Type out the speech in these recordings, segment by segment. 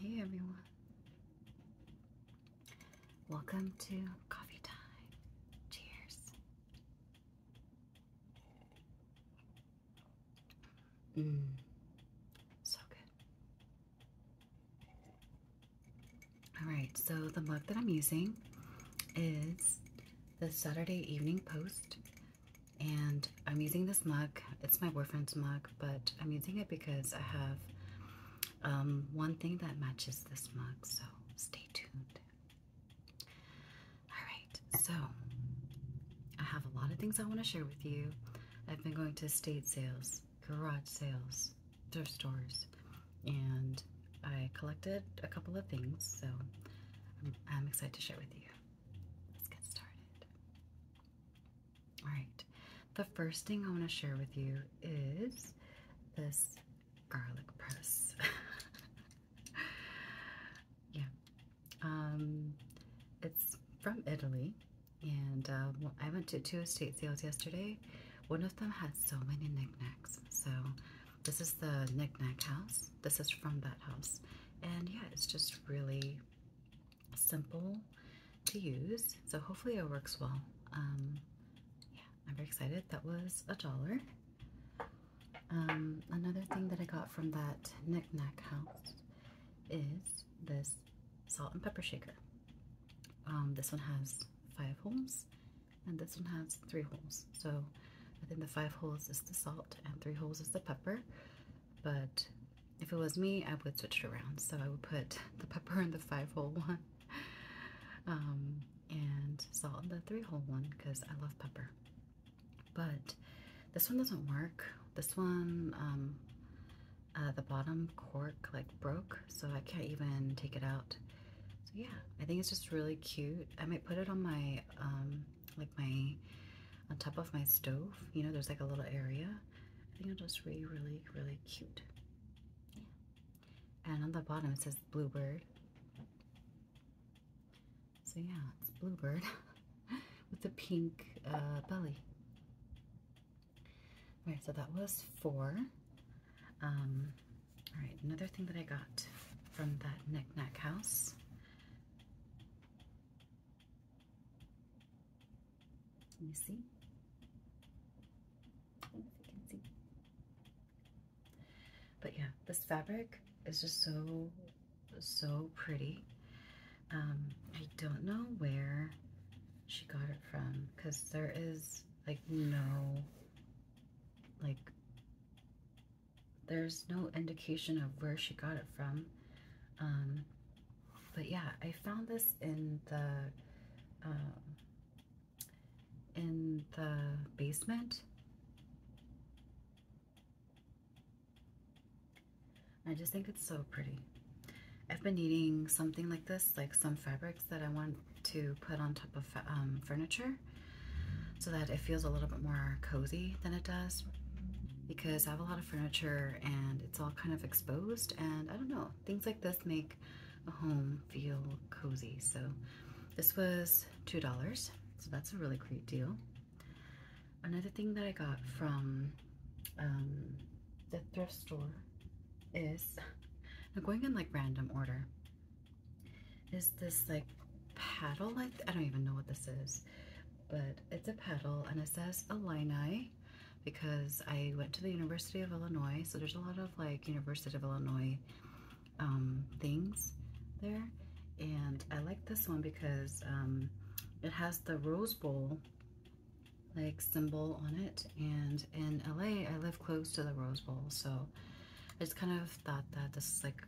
Hey everyone. Welcome to coffee time. Cheers. Mm. So good. All right, so the mug that I'm using is the Saturday Evening Post and I'm using this mug. It's my boyfriend's mug, but I'm using it because I have um, one thing that matches this mug, so stay tuned. Alright, so I have a lot of things I want to share with you. I've been going to estate sales, garage sales, thrift stores, and I collected a couple of things, so I'm, I'm excited to share with you. Let's get started. All right, the first thing I want to share with you is this garlic press. yeah, um, it's from Italy, and uh, I went to two estate sales yesterday. One of them had so many knickknacks. So, this is the knickknack house. This is from that house, and yeah, it's just really simple to use, so hopefully it works well. Um, yeah, I'm very excited. That was a dollar. Um, another thing that I got from that knickknack house is this salt and pepper shaker. Um, this one has five holes, and this one has three holes. So I think the five holes is the salt, and three holes is the pepper but if it was me, I would switch it around. So I would put the pepper in the five hole one um, and salt in the three hole one because I love pepper. But this one doesn't work. This one, um, uh, the bottom cork like broke, so I can't even take it out. So yeah, I think it's just really cute. I might put it on my, um, like my, on top of my stove. You know, there's like a little area I think it'll just be really, really cute. And on the bottom it says Bluebird. So yeah, it's Bluebird with the pink uh, belly. All right, so that was four. Um, all right, another thing that I got from that knickknack house can you see? I don't know if you can see. But yeah, this fabric is just so, so pretty. Um, I don't know where she got it from because there is like no, like, there's no indication of where she got it from. Um, but yeah, I found this in the um, in the basement. I just think it's so pretty. I've been needing something like this, like some fabrics that I want to put on top of um, furniture so that it feels a little bit more cozy than it does because I have a lot of furniture and it's all kind of exposed and I don't know, things like this make a home feel cozy. So this was $2, so that's a really great deal. Another thing that I got from um, the thrift store is, I'm going in like random order, is this like paddle, like, I don't even know what this is, but it's a paddle and it says Illini because I went to the University of Illinois. So there's a lot of like University of Illinois um, things there. And I like this one because um, it has the Rose Bowl like symbol on it. And in LA, I live close to the Rose Bowl. So I just kind of thought that this is like,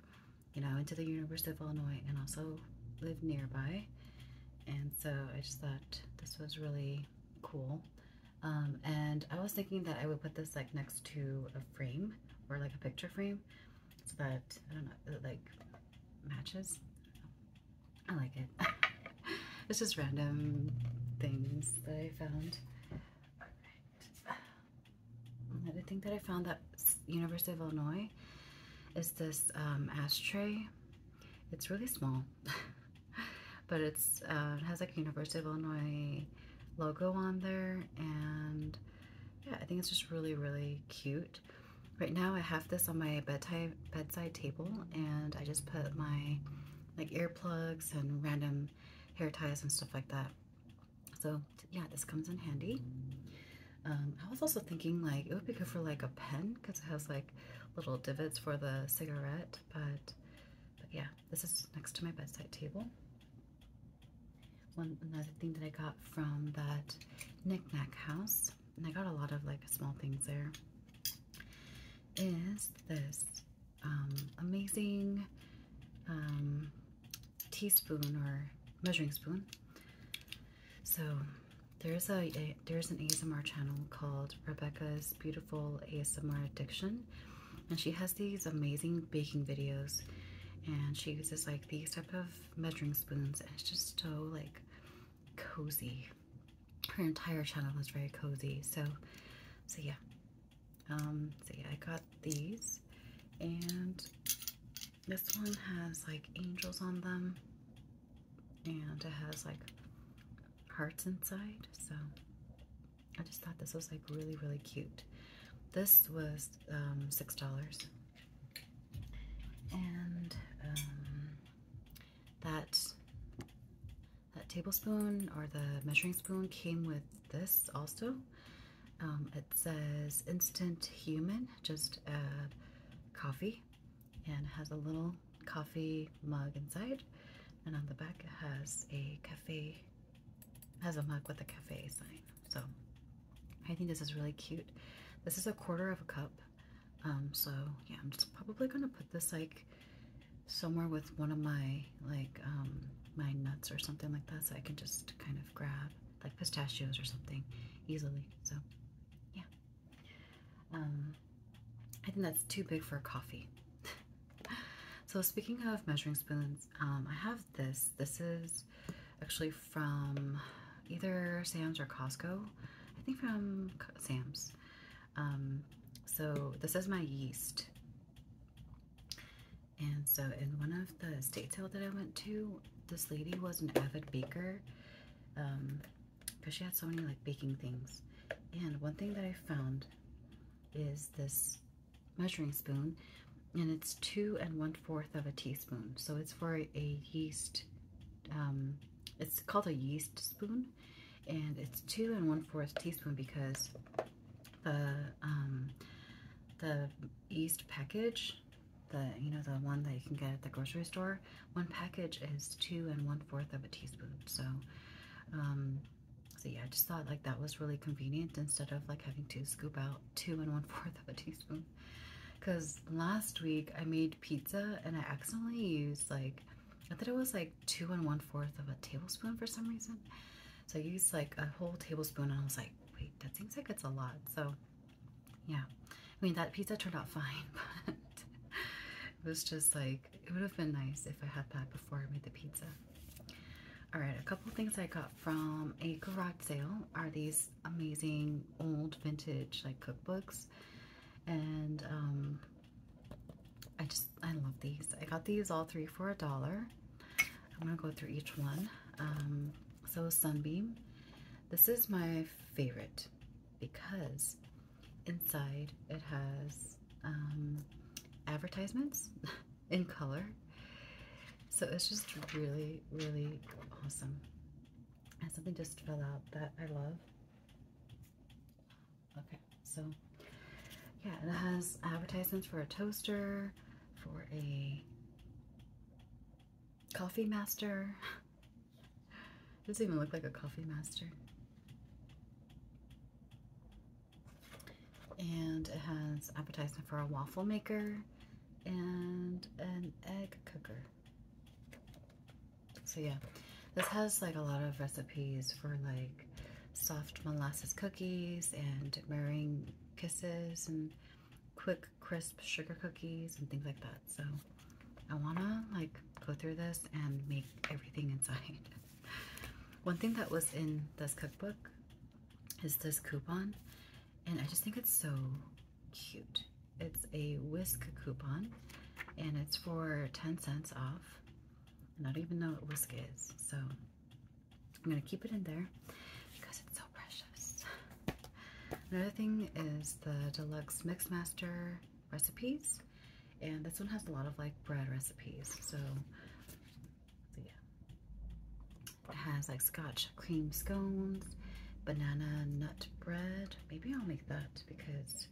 you know, into the University of Illinois and also live nearby. And so I just thought this was really cool. Um, and I was thinking that I would put this like next to a frame or like a picture frame so that, I don't know, like matches. I like it. This is random things that I found. Right. Another thing that I found that University of Illinois is this um, ashtray it's really small, but it's uh, it has like University of Illinois logo on there, and yeah, I think it's just really really cute. Right now, I have this on my bedtime bedside table, and I just put my like earplugs and random hair ties and stuff like that. So yeah, this comes in handy. Um, I was also thinking like it would be good for like a pen because it has like little divots for the cigarette, but but yeah, this is next to my bedside table. One another thing that I got from that knickknack house, and I got a lot of like small things there, is this um, amazing um, teaspoon or measuring spoon. So there's a, there's an ASMR channel called Rebecca's Beautiful ASMR Addiction, and she has these amazing baking videos, and she uses like these type of measuring spoons, and it's just so like cozy. Her entire channel is very cozy. So, so yeah. Um, so yeah, I got these, and this one has like angels on them and it has like hearts inside. So I just thought this was like really, really cute. This was um, $6. And um, that that tablespoon or the measuring spoon came with this also. Um, it says instant human, just uh, coffee and it has a little coffee mug inside and on the back it has a cafe has a mug with a cafe sign so i think this is really cute this is a quarter of a cup um, so yeah i'm just probably gonna put this like somewhere with one of my like um, my nuts or something like that so i can just kind of grab like pistachios or something easily so yeah um, I think that's too big for a coffee. so speaking of measuring spoons, um, I have this. This is actually from either Sam's or Costco. I think from Sam's. Um, so this is my yeast. And so in one of the estate sale that I went to, this lady was an avid baker. Um, because she had so many like baking things. And one thing that I found is this measuring spoon, and it's two and one fourth of a teaspoon. So it's for a yeast. Um, it's called a yeast spoon, and it's two and one fourth teaspoon because the um, the yeast package, the you know the one that you can get at the grocery store, one package is two and one fourth of a teaspoon. So, um, so yeah, I just thought like that was really convenient instead of like having to scoop out two and one fourth of a teaspoon. Cause last week I made pizza and I accidentally used like, I thought it was like two and one fourth of a tablespoon for some reason. So I used like a whole tablespoon and I was like, wait, that seems like it's a lot. So yeah I mean that pizza turned out fine but it was just like it would have been nice if I had that before I made the pizza all right a couple things I got from a garage sale are these amazing old vintage like cookbooks and um, I just I love these I got these all three for a dollar I'm gonna go through each one um, so Sunbeam this is my favorite because inside it has um, advertisements in color. So it's just really, really awesome. And something just fell out that I love. Okay, so yeah, it has advertisements for a toaster, for a coffee master, Doesn't even look like a coffee master. And it has appetizer for a waffle maker and an egg cooker. So yeah, this has like a lot of recipes for like soft molasses cookies and meringue kisses and quick crisp sugar cookies and things like that. So I wanna like go through this and make everything inside. One thing that was in this cookbook is this coupon, and I just think it's so cute. It's a whisk coupon, and it's for 10 cents off. And I don't even know what whisk is, so I'm gonna keep it in there because it's so precious. Another thing is the deluxe Mixmaster recipes. And this one has a lot of like bread recipes. So, so yeah. It has like scotch cream scones, banana nut bread. Maybe I'll make that because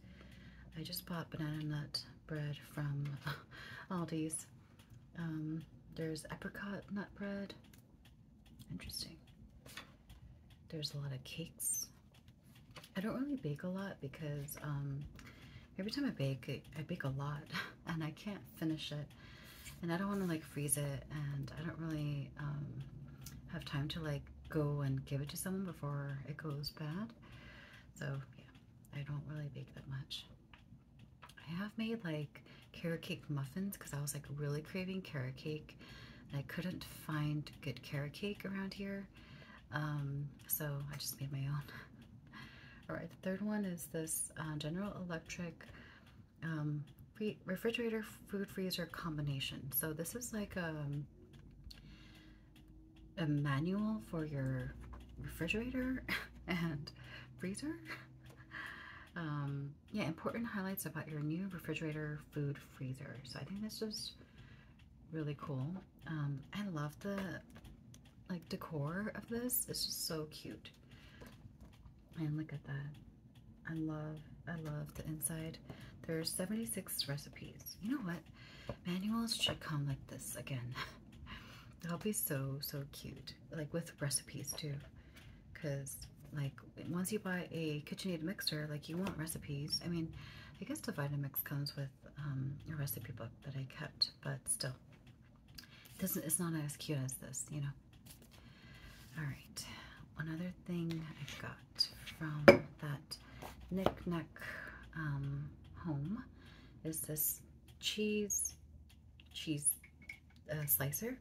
I just bought banana nut bread from Aldi's. Um, there's apricot nut bread. Interesting. There's a lot of cakes. I don't really bake a lot because um, every time I bake, I bake a lot and I can't finish it. And I don't want to like freeze it and I don't really um, have time to like go and give it to someone before it goes bad. So yeah, I don't really bake that much. I have made like carrot cake muffins because I was like really craving carrot cake I couldn't find good carrot cake around here, um, so I just made my own. All right, the third one is this uh, General Electric um, refrigerator food freezer combination. So this is like um, a, manual for your refrigerator and freezer. yeah, important highlights about your new refrigerator food freezer. So I think this is really cool. Um, I love the like decor of this. This is so cute. And look at that. I love, I love the inside. There's 76 recipes. You know what? Manuals should come like this again. That'll be so, so cute. Like with recipes too. Because like once you buy a KitchenAid mixer, like you want recipes. I mean, I guess the Vitamix comes with um, a recipe book that I kept, but still, it's not as cute as this, you know. All right, one other thing I got from that knickknack um, home is this cheese cheese uh, slicer,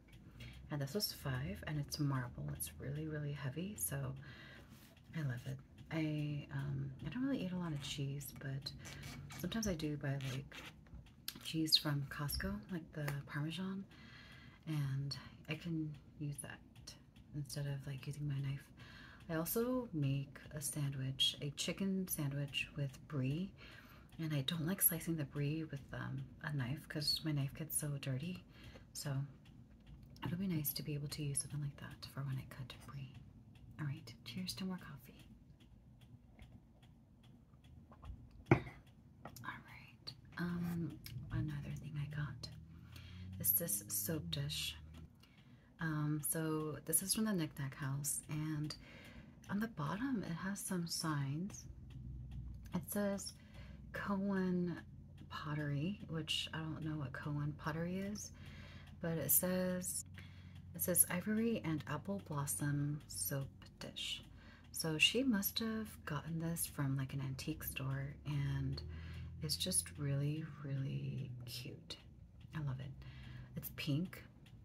and this was five, and it's marble. It's really really heavy, so I love it. I um, I don't really eat a lot of cheese, but sometimes I do buy like cheese from Costco, like the Parmesan, and I can use that instead of like using my knife. I also make a sandwich, a chicken sandwich with brie, and I don't like slicing the brie with um, a knife because my knife gets so dirty. So It'll be nice to be able to use something like that for when I cut free. All right, cheers to more coffee. All right, um, another thing I got is this soap dish. Um, so this is from the Knick Knack House, and on the bottom it has some signs. It says Cohen pottery, which I don't know what Cohen pottery is, but it says it says ivory and apple blossom soap dish. So she must have gotten this from like an antique store and it's just really, really cute. I love it. It's pink.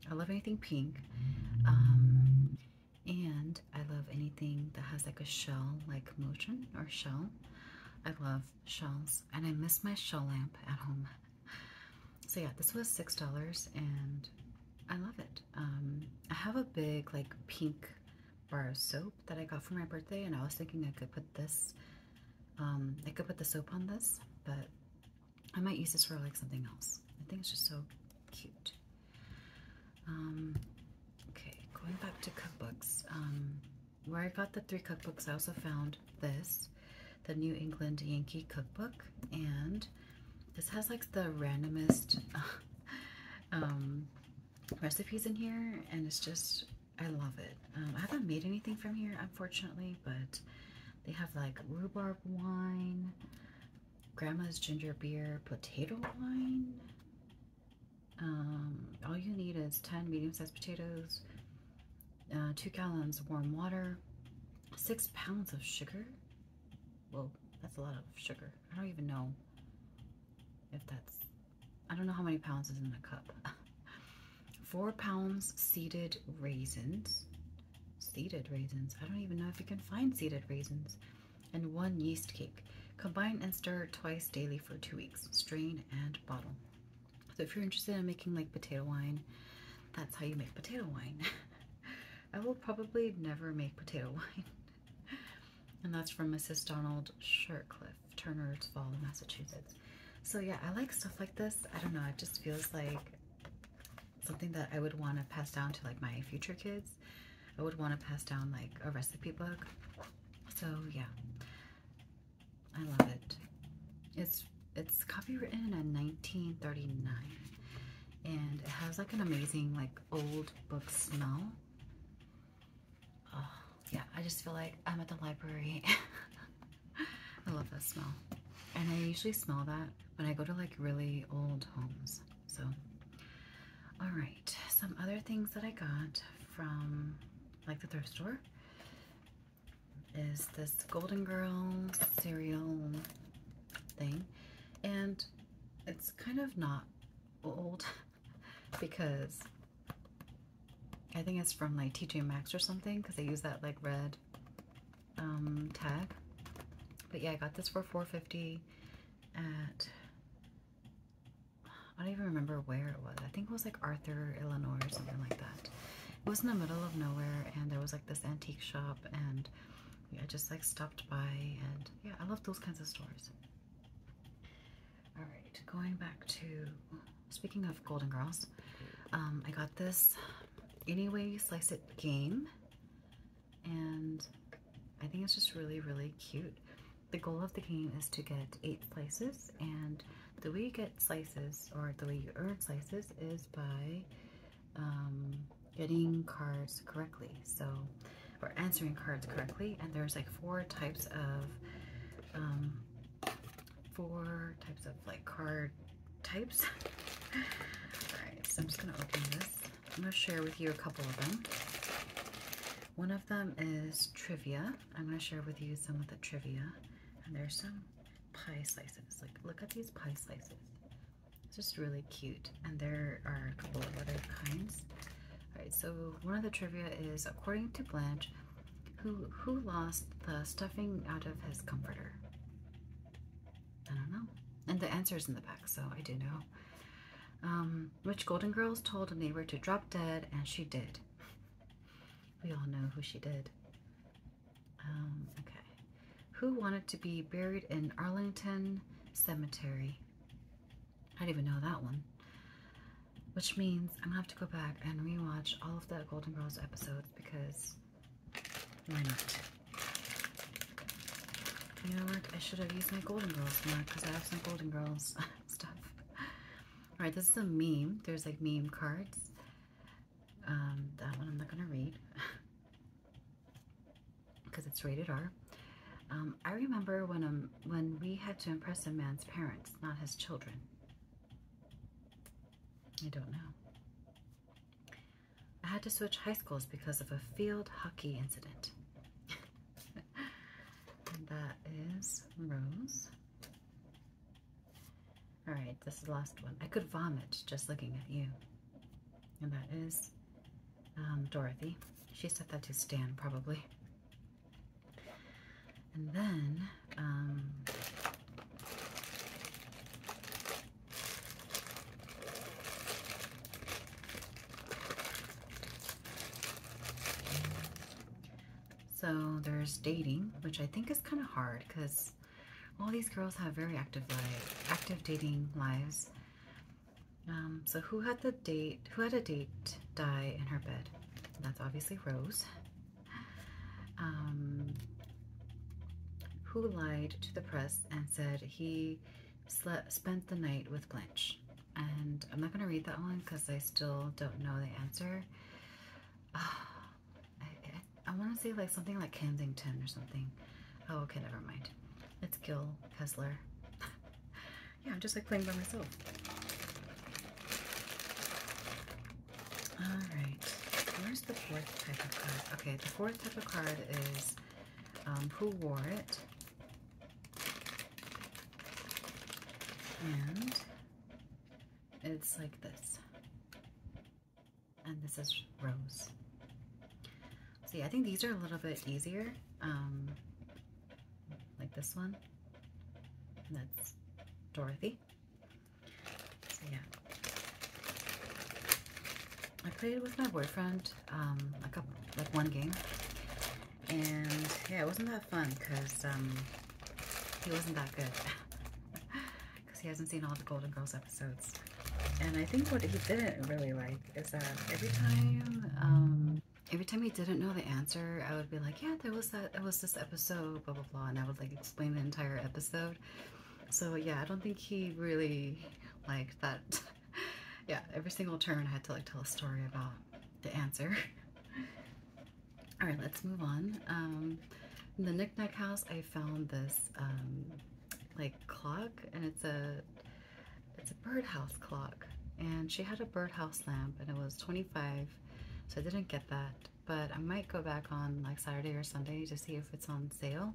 I love anything pink. Um, and I love anything that has like a shell like motion or shell. I love shells, and I miss my shell lamp at home. So yeah, this was six dollars, and I love it. Um, I have a big like pink bar of soap that I got for my birthday, and I was thinking I could put this. Um, I could put the soap on this, but I might use this for like something else. I think it's just so cute. Um, okay, going back to cookbooks. Um, where I got the three cookbooks, I also found this, the New England Yankee cookbook, and this has like the randomest um, recipes in here, and it's just, I love it. Um, I haven't made anything from here, unfortunately, but they have like rhubarb wine, grandma's ginger beer, potato wine, um, all you need is 10 medium-sized potatoes, uh, 2 gallons of warm water, 6 pounds of sugar. Whoa, that's a lot of sugar. I don't even know if that's... I don't know how many pounds is in a cup. 4 pounds seeded raisins. Seeded raisins? I don't even know if you can find seeded raisins. And 1 yeast cake. Combine and stir twice daily for 2 weeks. Strain and bottle. So if you're interested in making like potato wine, that's how you make potato wine. I will probably never make potato wine. and that's from Mrs. Donald Shirtcliffe, Turner's Fall, Massachusetts. So yeah, I like stuff like this. I don't know, it just feels like something that I would want to pass down to like my future kids. I would want to pass down like a recipe book. So yeah, I love it. It's it's copywritten in 1939, and it has like an amazing like old book smell. Oh yeah, I just feel like I'm at the library. I love that smell, and I usually smell that when I go to like really old homes. So, all right, some other things that I got from like the thrift store, is this Golden Girl cereal thing. And it's kind of not old because I think it's from like TJ Maxx or something because they use that like red um, tag. But yeah, I got this for 4.50 at I don't even remember where it was. I think it was like Arthur, Illinois, or something like that. It was in the middle of nowhere, and there was like this antique shop, and I just like stopped by, and yeah, I love those kinds of stores. All right, going back to speaking of Golden Girls, um, I got this Anyway You Slice It game, and I think it's just really, really cute the goal of the game is to get eight slices, and the way you get slices, or the way you earn slices, is by um, getting cards correctly. So, or answering cards correctly, and there's like four types of, um, four types of like card types. Alright, so I'm just gonna open this. I'm gonna share with you a couple of them. One of them is trivia. I'm going to share with you some of the trivia. And there's some pie slices. Like, look at these pie slices. It's just really cute. And there are a couple of other kinds. Alright, so one of the trivia is, according to Blanche, who, who lost the stuffing out of his comforter? I don't know. And the answer is in the back, so I do know. Um, which Golden Girls told a neighbor to drop dead, and she did. We all know who she did. Um, okay. Who wanted to be buried in Arlington Cemetery? I didn't even know that one. Which means I'm gonna have to go back and rewatch all of the Golden Girls episodes because why not? You know what? I should have used my Golden Girls more because I have some Golden Girls stuff. All right, this is a meme. There's like meme cards. Um, that one I'm not going to read because it's rated R. Um, I remember when um, when we had to impress a man's parents, not his children. I don't know. I had to switch high schools because of a field hockey incident. that is Rose. All right, this is the last one. I could vomit just looking at you. And that is um, Dorothy. She set that to Stan, probably. And then, um, so there's dating, which I think is kind of hard because all these girls have very active life, active dating lives. Um, so who had the date? Who had a date die in her bed? That's obviously Rose. Um, who lied to the press and said he slept, spent the night with Blanche? and I'm not going to read that one because I still don't know the answer. I, want to say like something like Kensington or something. Oh, okay, never mind. It's Gil Kessler. yeah, I'm just like playing by myself. Alright, where's the fourth type of card? Okay, the fourth type of card is um, Who Wore It? And it's like this. And this is rose. See, I think these are a little bit easier. Um, like this one. that's Dorothy. yeah. I played with my boyfriend um, like, a, like one game and yeah, it wasn't that fun because um, he wasn't that good. Because he hasn't seen all the Golden Girls episodes. And I think what he didn't really like is that every time, um, every time he didn't know the answer, I would be like, yeah, there was that, it was this episode, blah, blah, blah. And I would like explain the entire episode. So yeah, I don't think he really liked that. yeah, every single turn I had to like tell a story about the answer. All right, let's move on. Um, in the knickknack house, I found this um, like clock, and it's a it's a birdhouse clock. And she had a birdhouse lamp, and it was 25, so I didn't get that. But I might go back on like Saturday or Sunday to see if it's on sale.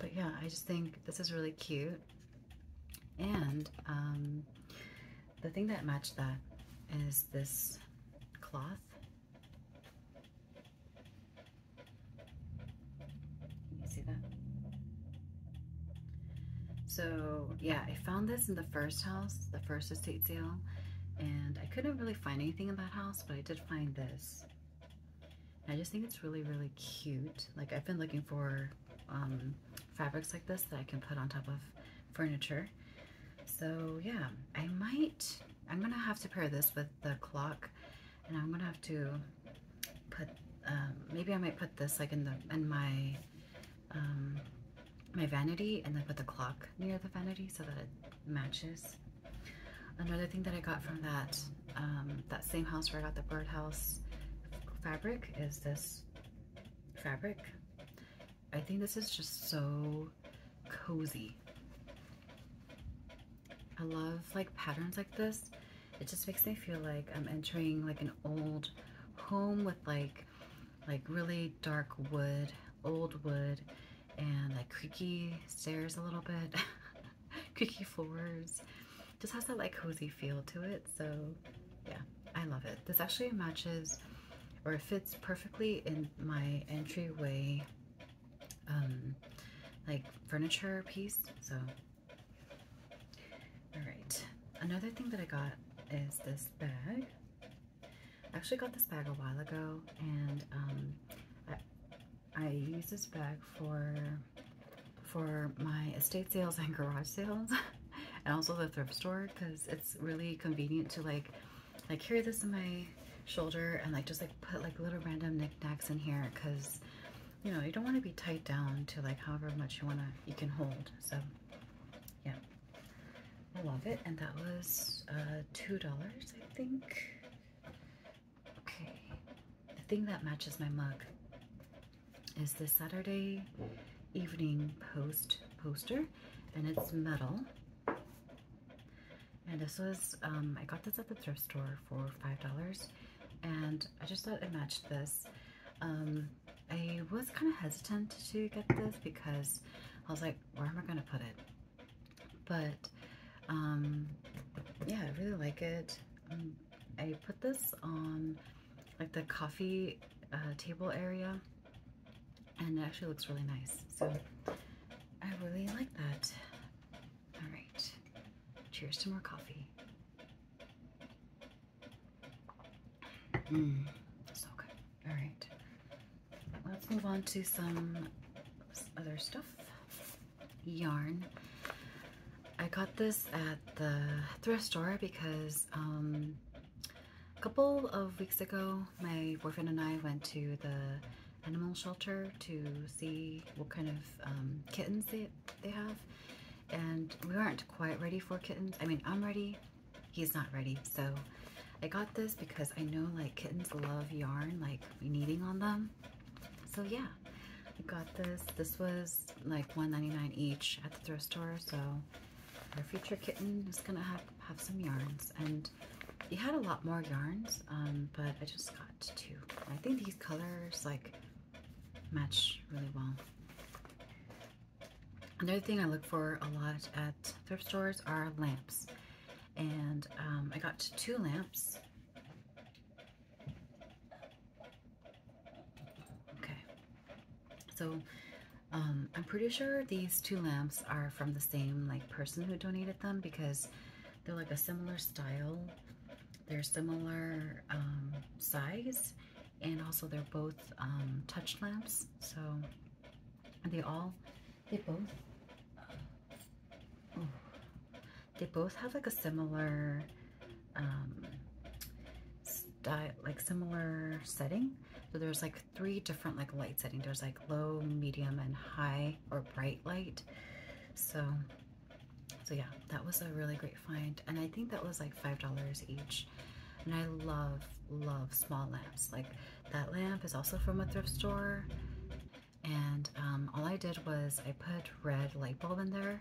But yeah, I just think this is really cute. And um, the thing that matched that is this cloth. You see that? So yeah, I found this in the first house, the first estate sale, and I couldn't really find anything in that house, but I did find this. I just think it's really, really cute. Like I've been looking for um, fabrics like this that I can put on top of furniture. So yeah, I might, I'm gonna have to pair this with the clock and I'm gonna have to put, um, maybe I might put this like in the, in my, um, my vanity and then put the clock near the vanity so that it matches. Another thing that I got from that, um, that same house where I got the birdhouse fabric is this fabric I think this is just so cozy. I love like patterns like this. It just makes me feel like I'm entering like an old home with like like really dark wood, old wood, and like creaky stairs a little bit, creaky floors. Just has that like cozy feel to it. So yeah. I love it. This actually matches or fits perfectly in my entryway um, like furniture piece. So, all right. Another thing that I got is this bag. I actually got this bag a while ago and um, I, I use this bag for for my estate sales and garage sales. and also the thrift store because it's really convenient to like like carry this in my shoulder and like just like put like little random knickknacks in here because you know you don't want to be tight down to like however much you want to you can hold so yeah I love it and that was uh, two dollars I think okay the thing that matches my mug is the Saturday evening post poster and it's metal. And this was, um, I got this at the thrift store for $5 and I just thought it matched this. Um, I was kind of hesitant to get this because I was like, where am I going to put it? But um, yeah, I really like it. I put this on like the coffee uh, table area and it actually looks really nice. So I really like that. All right, cheers to more coffee. Mmm, so good. All right, let's move on to some other stuff. Yarn. I got this at the thrift store because um, a couple of weeks ago, my boyfriend and I went to the animal shelter to see what kind of um, kittens they, they have. And we were not quite ready for kittens. I mean, I'm ready. He's not ready. So I got this because I know like kittens love yarn, like kneading on them. So yeah, I got this. This was like $1.99 each at the thrift store. So our future kitten is gonna have, have some yarns and we had a lot more yarns, um, but I just got two. I think these colors like match really well. Another thing I look for a lot at thrift stores are lamps. And um, I got two lamps. Okay. So um, I'm pretty sure these two lamps are from the same like person who donated them because they're like a similar style. They're similar um, size and also they're both um, touch lamps. So they all, they both, uh, they both have like a similar style, like similar setting. So there's like three different like light settings. There's like low, medium, and high or bright light. So, so yeah, that was a really great find. And I think that was like $5 each. And I love, love small lamps. Like that lamp is also from a thrift store. And um, all I did was I put red light bulb in there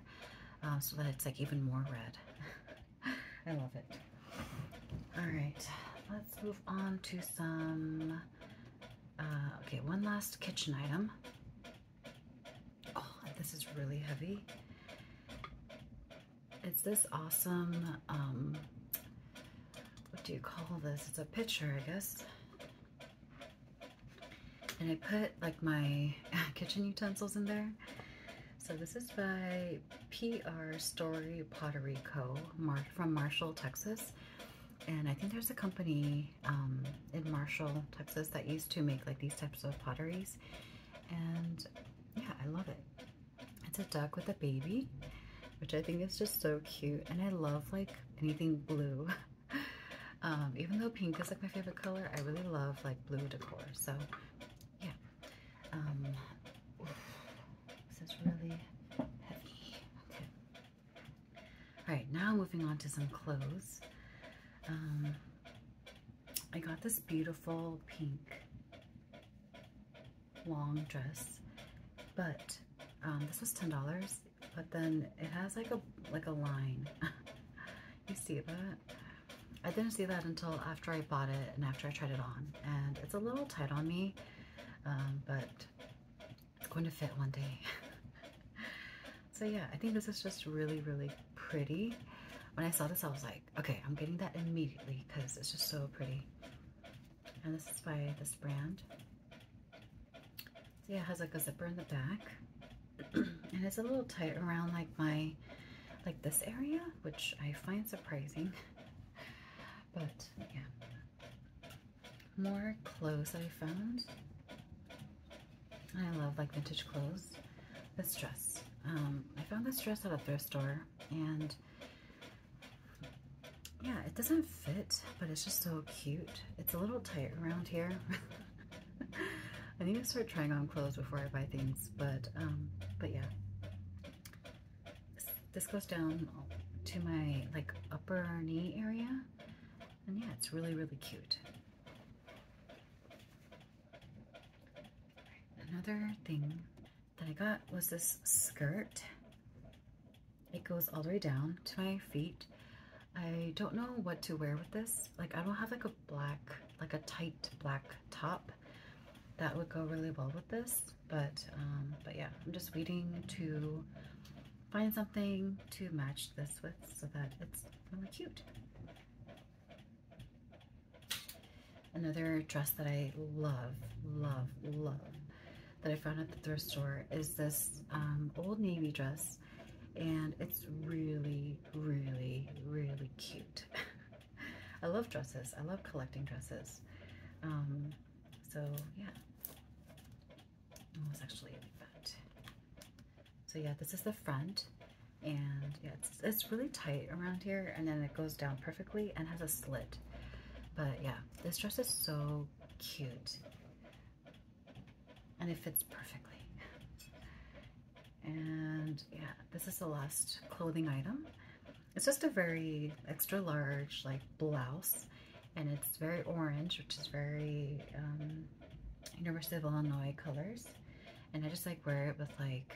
uh, so that it's like even more red. I love it. All right, let's move on to some. Uh, okay, one last kitchen item. Oh, this is really heavy. It's this awesome. Um, what do you call this? It's a pitcher, I guess. And I put like my kitchen utensils in there. So this is by PR Story Pottery Co. from Marshall, Texas. And I think there's a company um, in Marshall, Texas that used to make like these types of potteries. And yeah, I love it. It's a duck with a baby, which I think is just so cute. And I love like anything blue. Um, even though pink is like my favorite color, I really love like blue decor. So yeah, um, this is really heavy. Okay. All right, now moving on to some clothes. Um, I got this beautiful pink long dress, but um, this was ten dollars. But then it has like a like a line. you see that? I didn't see that until after I bought it and after I tried it on and it's a little tight on me, um, but it's going to fit one day. so yeah, I think this is just really, really pretty. When I saw this, I was like, okay, I'm getting that immediately because it's just so pretty. And this is by this brand. See, it has like a zipper in the back. and it's a little tight around like my, like this area, which I find surprising. But yeah, more clothes I found. I love like vintage clothes. This dress, um, I found this dress at a thrift store, and yeah, it doesn't fit, but it's just so cute. It's a little tight around here. I need to start trying on clothes before I buy things, but um, but yeah, this goes down to my like upper knee area. And yeah, it's really, really cute. Another thing that I got was this skirt. It goes all the way down to my feet. I don't know what to wear with this. Like I don't have like a black, like a tight black top that would go really well with this. But, um, but yeah, I'm just waiting to find something to match this with so that it's really cute. Another dress that I love, love, love that I found at the thrift store is this um, Old Navy dress and it's really, really, really cute. I love dresses. I love collecting dresses. Um, so yeah, almost actually like So yeah, this is the front, and yeah, it's really tight around here, and then it goes down perfectly and has a slit. But yeah, this dress is so cute, and it fits perfectly. And yeah, this is the last clothing item. It's just a very extra large like blouse and it's very orange, which is very um, University of Illinois colors. And I just like wear it with like,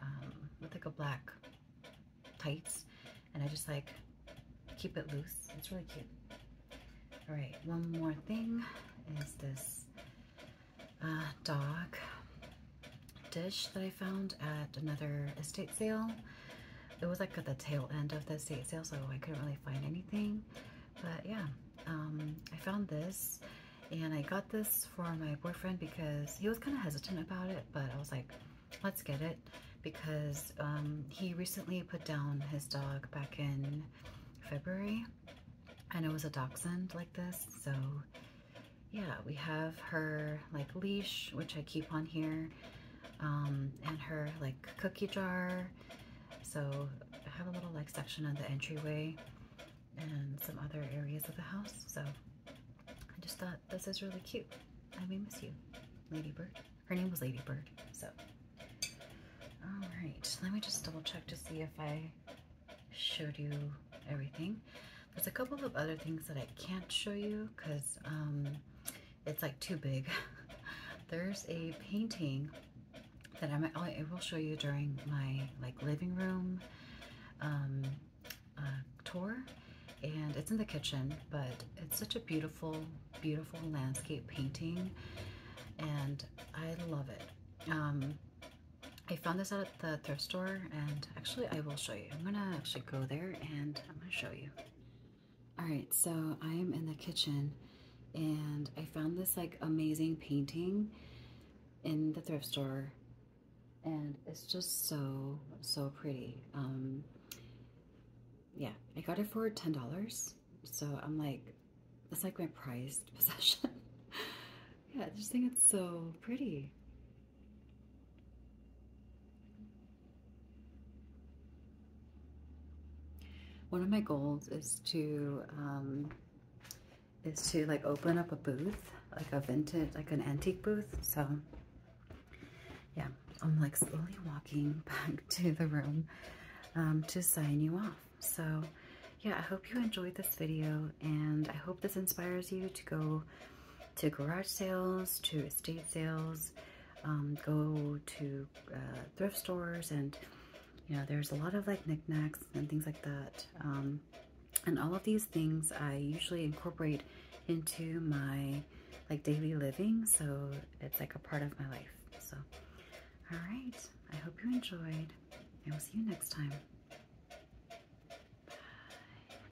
um, with like a black tights. And I just like keep it loose. It's really cute. All right, one more thing is this uh, dog dish that I found at another estate sale. It was like at the tail end of the estate sale, so I couldn't really find anything. But yeah, um, I found this and I got this for my boyfriend because he was kind of hesitant about it, but I was like, let's get it because um, he recently put down his dog back in February and it was a dachshund like this, so yeah, we have her like leash, which I keep on here, um, and her like cookie jar. So I have a little like section of the entryway and some other areas of the house. So I just thought this is really cute. I may miss you, Ladybird. Her name was Ladybird, so. All right, let me just double check to see if I showed you everything. There's a couple of other things that I can't show you because um, it's like too big. There's a painting that I, might, oh, I will show you during my like living room um, uh, tour and it's in the kitchen but it's such a beautiful beautiful landscape painting and I love it. Um, I found this at the thrift store and actually I will show you. I'm gonna actually go there and I'm gonna show you. Alright, so I am in the kitchen and I found this like amazing painting in the thrift store and it's just so, so pretty. Um, yeah, I got it for $10. So I'm like, that's like my prized possession. yeah, I just think it's so pretty. One of my goals is to um, is to like open up a booth, like a vintage, like an antique booth. So yeah, I'm like slowly walking back to the room um, to sign you off. So yeah, I hope you enjoyed this video and I hope this inspires you to go to garage sales, to State sales, um, go to uh, thrift stores, and you know, there's a lot of like knickknacks and things like that. Um, and all of these things I usually incorporate into my like daily living, so it's like a part of my life. So, all right, I hope you enjoyed, and we'll see you next time.